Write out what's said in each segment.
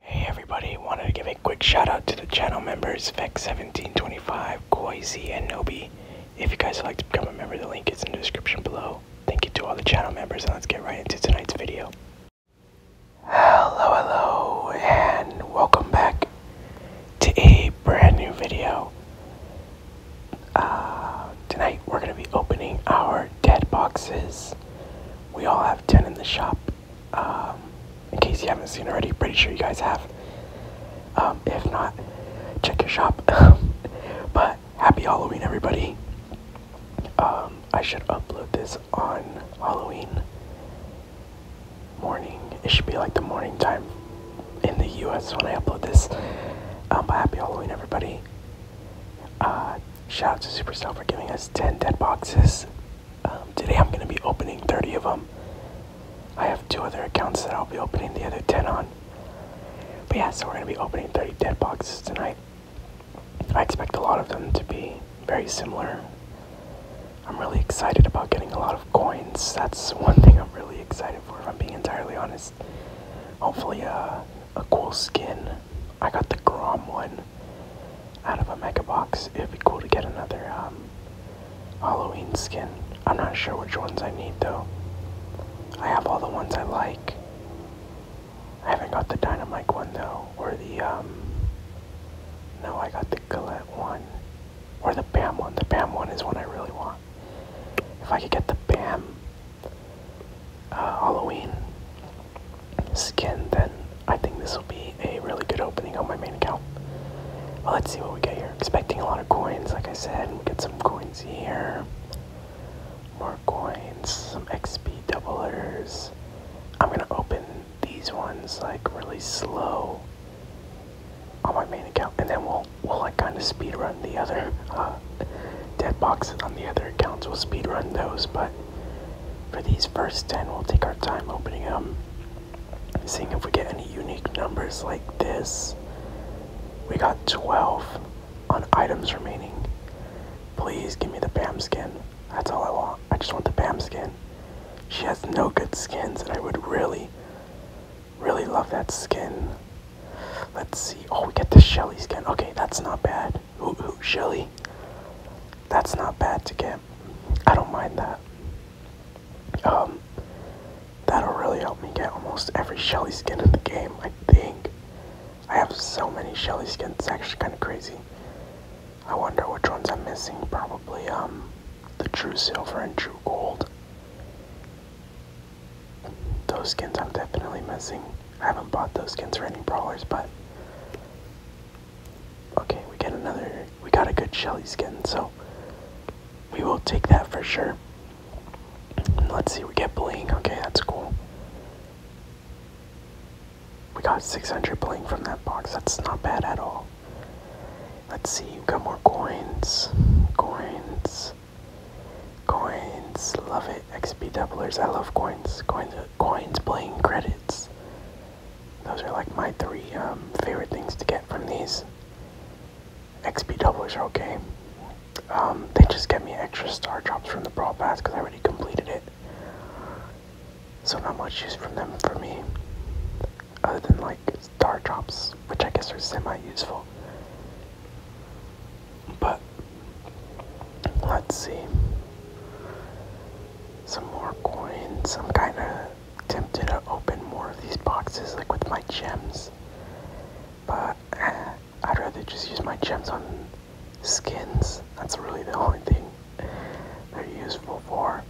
Hey everybody, wanted to give a quick shout out to the channel members Vex1725, Koizi, and Nobi. If you guys would like to become a member, the link is in the description below. Thank you to all the channel members and let's get right into tonight's video. Hello, hello, and welcome back to a brand new video. Uh, tonight we're going to be opening our dead boxes. We all have 10 in the shop um, in case you haven't seen already, pretty sure you guys have. Um, if not, check your shop. but happy Halloween, everybody. Um, I should upload this on Halloween morning. It should be like the morning time in the US when I upload this. Um, happy Halloween, everybody. Uh, shout out to Supercell for giving us 10 dead boxes. Um, today I'm going to be opening 30 of them. I have two other accounts that I'll be opening the other 10 on. But yeah, so we're going to be opening 30 dead boxes tonight. I expect a lot of them to be very similar. I'm really excited about getting a lot of coins. That's one thing I'm really excited for, if I'm being entirely honest. Hopefully, uh, a cool skin I got the Grom one out of a Mega Box. It'd be cool to get another um, Halloween skin. I'm not sure which ones I need though. I have all the ones I like. I haven't got the Dynamite one though, or the um. No, I got the Gillette one, or the Bam one. The Bam one is what I really want. If I could get the Bam uh, Halloween, skin, then I think this will be a really good opening on my main account. let's see what we get here. Expecting a lot of coins, like I said. We get some coins here. More coins, some XP doublers. I'm gonna open these ones like really slow on my main account, and then we'll we'll like kind of speed run the other uh, dead boxes on the other accounts. We'll speed run those, but for these first 10, we'll take our time opening them, seeing if we get any unique numbers like this. We got 12 on items remaining. Please give me the BAM skin. That's all I want. I just want the BAM skin. She has no good skins, and I would really, really love that skin. Let's see. Oh, we get the Shelly skin. Okay, that's not bad. Ooh, Shelly. That's not bad to get. I don't mind that. Um, that'll really help me get almost every Shelly skin in the game, I think. I have so many Shelly skins, it's actually kind of crazy. I wonder which ones I'm missing. Probably, um, the True Silver and True Gold. Those skins I'm definitely missing. I haven't bought those skins for any brawlers, but Okay, we get another. We got a good Shelly skin, so we will take that for sure. Let's see, we get bling. Okay, that's cool. We got 600 bling from that box. That's not bad at all. Let's see, we got more coins. Coins. Coins. Love it. XP doublers. I love coins. Coins coins playing credits. Those are like my three um, favorite things to get from these. XP doubles are okay. Um, they just get me extra star drops from the Brawl Pass because I already completed it. So not much use from them for me. Other than like star drops, which I guess are semi-useful. But Let's see. Some more coins. I'm kind of tempted to open more of these boxes, like with my gems. But I'd rather just use my gems on skins. That's really the only thing they're useful for.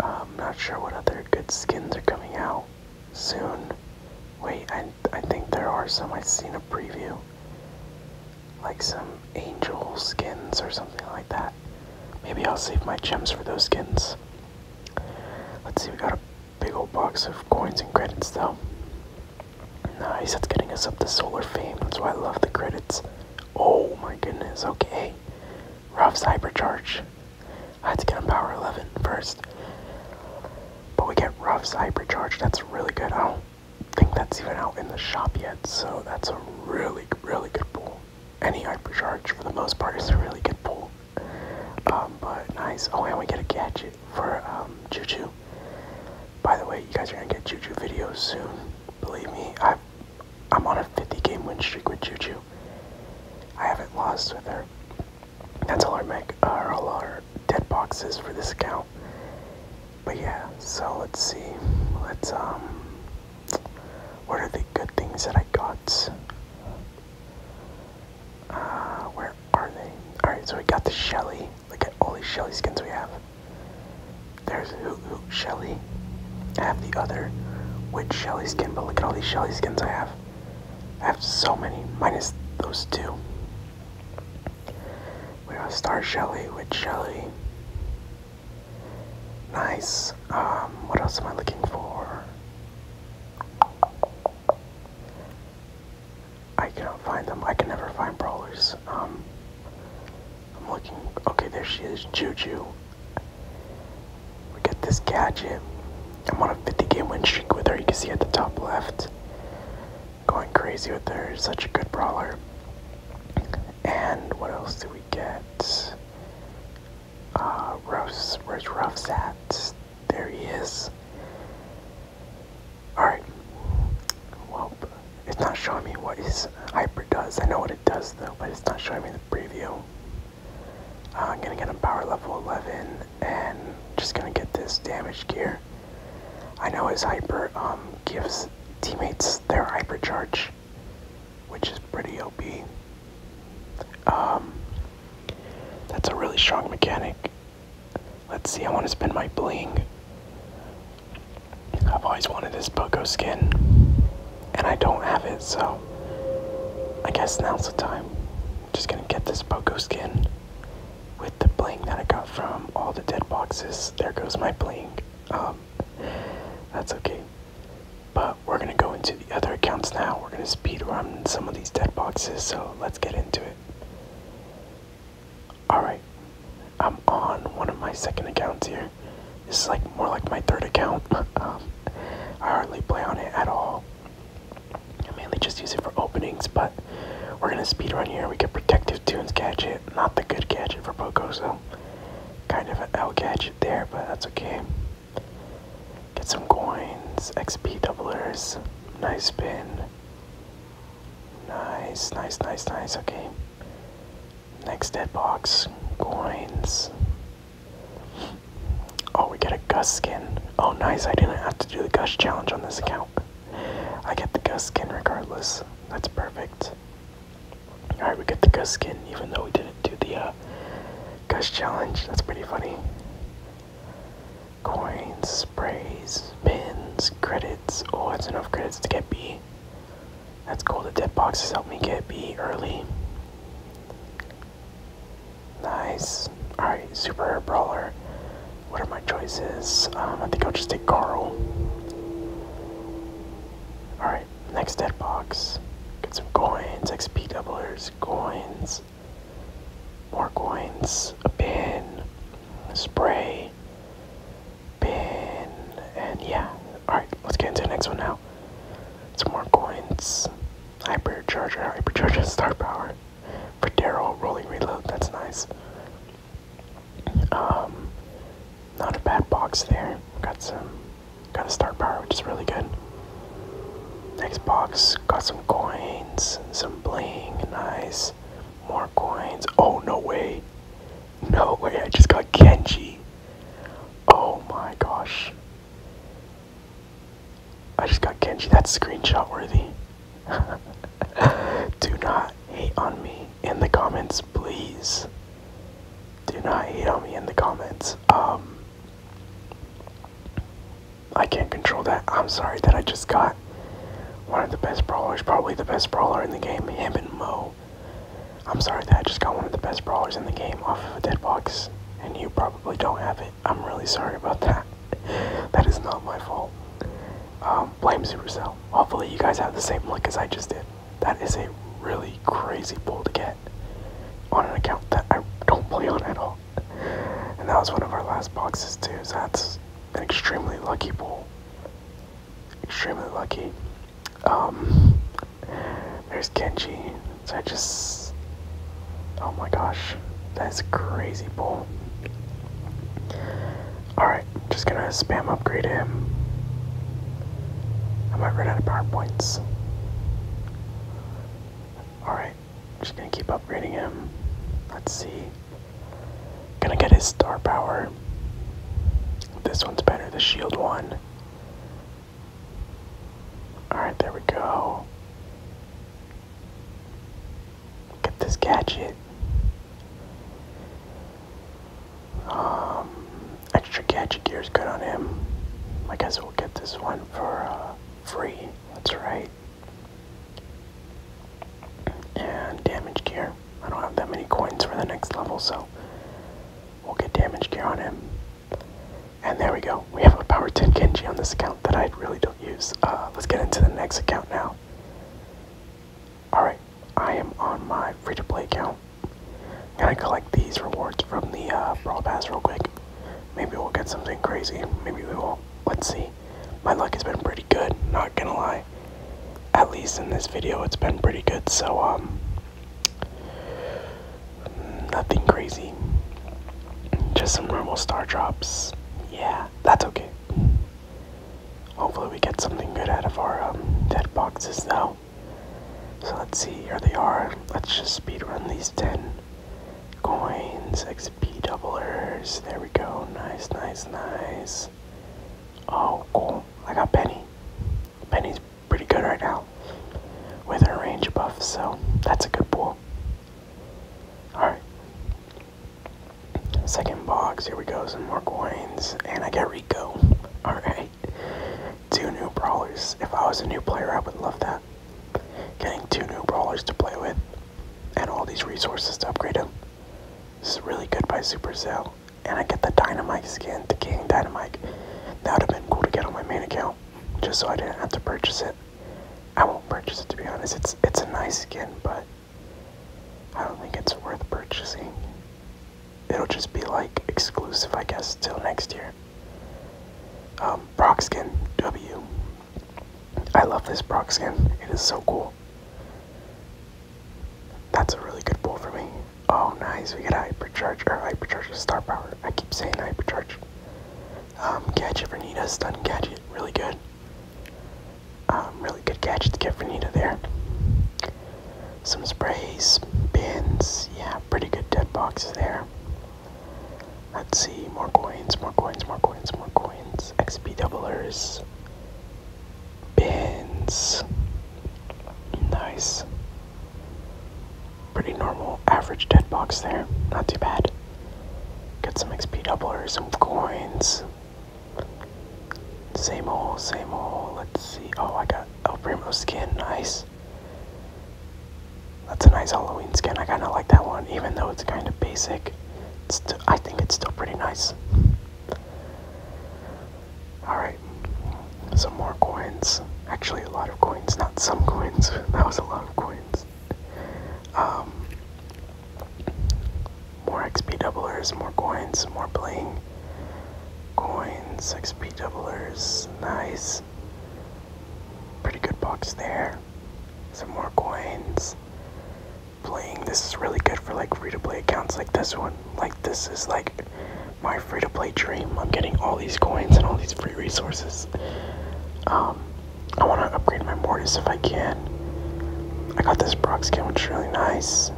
I'm um, not sure what other good skins are coming out soon. Wait, I I think there are some. I've seen a preview, like some angel skins or something like that. Maybe I'll save my gems for those skins. Let's see. We got a big old box of coins and credits though. Nice. That's getting us up to solar fame. That's why I love the credits. Oh my goodness. Okay. Ruff's hypercharge. I had to get on power 11 first. But we get Ruff's hypercharge. That's really good. Oh think that's even out in the shop yet, so that's a really, really good pool. Any hypercharge, for the most part, is a really good pool. Um, but nice. Oh, and we get a gadget for um, Juju. By the way, you guys are gonna get Juju videos soon. Believe me, i I'm on a 50 game win streak with Juju. I haven't lost with her. That's all our mech, uh, all our dead boxes for this account. But yeah, so let's see. Let's um what are the good things that I got? Uh where are they? Alright, so we got the Shelly. Look at all these Shelly skins we have. There's Hoot Hoot Shelly. I have the other Witch Shelly skin, but look at all these Shelly skins I have. I have so many, minus those two. We're gonna Shelly with Shelly. Nice. Um, what else am I looking for? I cannot find them. I can never find brawlers. Um, I'm looking. Okay, there she is, Juju. We get this gadget. I'm on a 50 game win streak with her. You can see at the top left going crazy with her. Such a good brawler. And what else do we get? Uh, Rose, where's Ruff's at? There he is. Alright. Well, it's not showing me what his hyper does. I know what it does though, but it's not showing me the preview. Uh, I'm gonna get him power level 11 and just gonna get this damage gear. I know his hyper um, gives teammates their hyper charge, which is pretty OP. Um, that's a really strong mechanic. Let's see, I want to spend my bling. I've always wanted this Poco skin, and I don't have it, so I guess now's the time. I'm just gonna get this Poco skin with the bling that I got from all the dead boxes. There goes my bling. Um, that's okay. But we're gonna go into the other accounts now. We're gonna speed around some of these dead boxes, so let's get into it. Alright, I'm on one of my second accounts here. This is like more like my third account. um, I hardly play on it at all. I mainly just use it for openings, but we're gonna speed speedrun here. We get Protective Tunes gadget. Not the good gadget for Pocoso. Kind of an L gadget there, but that's okay. Get some coins, XP doublers. Nice spin. Nice, nice, nice, nice. Okay. Next dead box. Coins. Oh, we get a gush skin. Oh, nice. I didn't have to do the gush challenge on this account. I get the Gus skin regardless. That's perfect. Alright, we get the Gus skin even though we didn't do the uh, Gus challenge. That's pretty funny. Coins, sprays, pins, credits. Oh, that's enough credits to get B. That's cool. The dead boxes helped me get B early. Nice. Alright, Super Brawler. What are my choices? Um, I think I'll just take Carl. Alright, next dead box. Get some coins, XP doublers, coins, more coins, a pin, a spray, pin, and yeah. Alright, let's get into the next one now. Some more coins, Hyper charger, hyper charger, star power. For Daryl, rolling reload, that's nice. Um, not a bad box there. Got some, got a start power, which is really good. Next box, got some coins, some bling, nice. More coins. Oh, no way. No way, I just got Genji. Oh my gosh. I just got Genji. That's screenshot worthy. Do not hate on me in the comments, please. Do not hate on me in the comments. Um, I can't control that. I'm sorry that I just got one of the best brawlers, probably the best brawler in the game, him and Mo. I'm sorry that I just got one of the best brawlers in the game off of a dead box, and you probably don't have it. I'm really sorry about that. that is not my fault. Um, blame Supercell. Hopefully, you guys have the same luck as I just did. That is a really crazy pull to get on an account that I don't play on at all. And that was one of our last boxes, too, so that's an extremely lucky pull. Extremely lucky. Um, there's Kenji. So I just. Oh my gosh. That is a crazy pull. Alright, just gonna spam upgrade him. I might run out of power points. Alright, just gonna keep upgrading him. Let's see. Gonna get his star power. This one's better, the shield one. Alright, there we go. Get this gadget. Um, extra gadget gear is good on him. I guess we'll get this one for uh, free. That's right. And damage gear. I don't have that many coins for the next level, so we'll get damage gear on him. And there we go. We have a power 10 Genji on this account that I really don't use. Uh, let's get into the next account now. Alright, I am on my free to play account. Can i collect these rewards from the uh, Brawl Pass real quick. Maybe we'll get something crazy. Maybe we won't. Let's see. My luck has been pretty good, not gonna lie. At least in this video, it's been pretty good, so, um. Nothing crazy. Just some normal star drops. Yeah. That's okay. Hopefully we get something good out of our um, dead boxes now. So let's see, here they are. Let's just speed run these 10 coins, XP doublers. There we go. Nice, nice, nice. Oh, cool. I got Penny. Penny's pretty good right now with her range buff, so that's a good pull. Alright, Second box, here we go, some more coins, and I get Rico. Alright. Two new brawlers. If I was a new player, I would love that. Getting two new brawlers to play with, and all these resources to upgrade them. This is really good by Super Supercell. And I get the Dynamite skin, the King Dynamite. That would have been cool to get on my main account, just so I didn't have to purchase it. I won't purchase it to be honest. It's it's a nice skin, but I don't think it's worth purchasing. It'll just be like exclusive, I guess, till next year. Um, Brock skin W. I love this Brock skin. It is so cool. That's a really good pull for me. Oh, nice. We get a hypercharge or hypercharge star power. I keep saying hypercharge. Um, gadget for Nita, stun gadget, really good. Um, really good gadget to get for there. Some sprays, bins, yeah, pretty good dead boxes there. Let's see, more coins, more coins, more coins, more coins. XP doublers, bins, nice. Pretty normal, average dead box there, not too bad. Get some XP doubler, some coins. Same old, same old. Let's see. Oh, I got El Primo skin. Nice. That's a nice Halloween skin. I kind of like that one, even though it's kind of basic. I think it's still pretty nice. Alright. Some more coins. Actually, a lot of coins. Not some coins. That was a lot of coins. Um, more XP doublers, more coins, more bling. Coins, XP doublers, nice. Pretty good box there. Some more coins. Playing this is really good for like free to play accounts like this one. Like, this is like my free to play dream. I'm getting all these coins and all these free resources. Um, I want to upgrade my Mortis if I can. I got this Brox skin, which is really nice.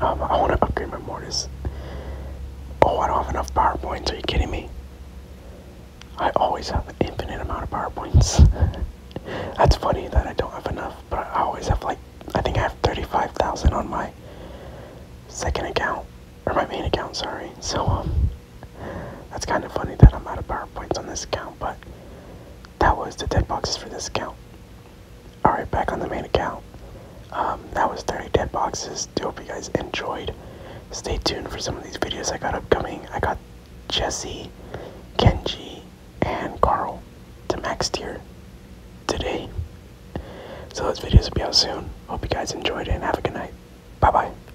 Um, I want to upgrade my Mortis. Oh, I don't have enough power Are you kidding me? I always have an infinite amount of PowerPoints. That's funny that I don't have enough, but I always have like I think I have 35,000 on my second account or my main account. Sorry. So um, that's kind of funny that I'm out of PowerPoints on this account, but that was the dead boxes for this account. Alright, back on the main account. Um, that was 30 dead boxes. Do hope you guys enjoyed. Stay tuned for some of these videos I got upcoming. I got Jesse, Kenji, and Carl to max tier today. So those videos will be out soon. Hope you guys enjoyed it and have a good night. Bye bye.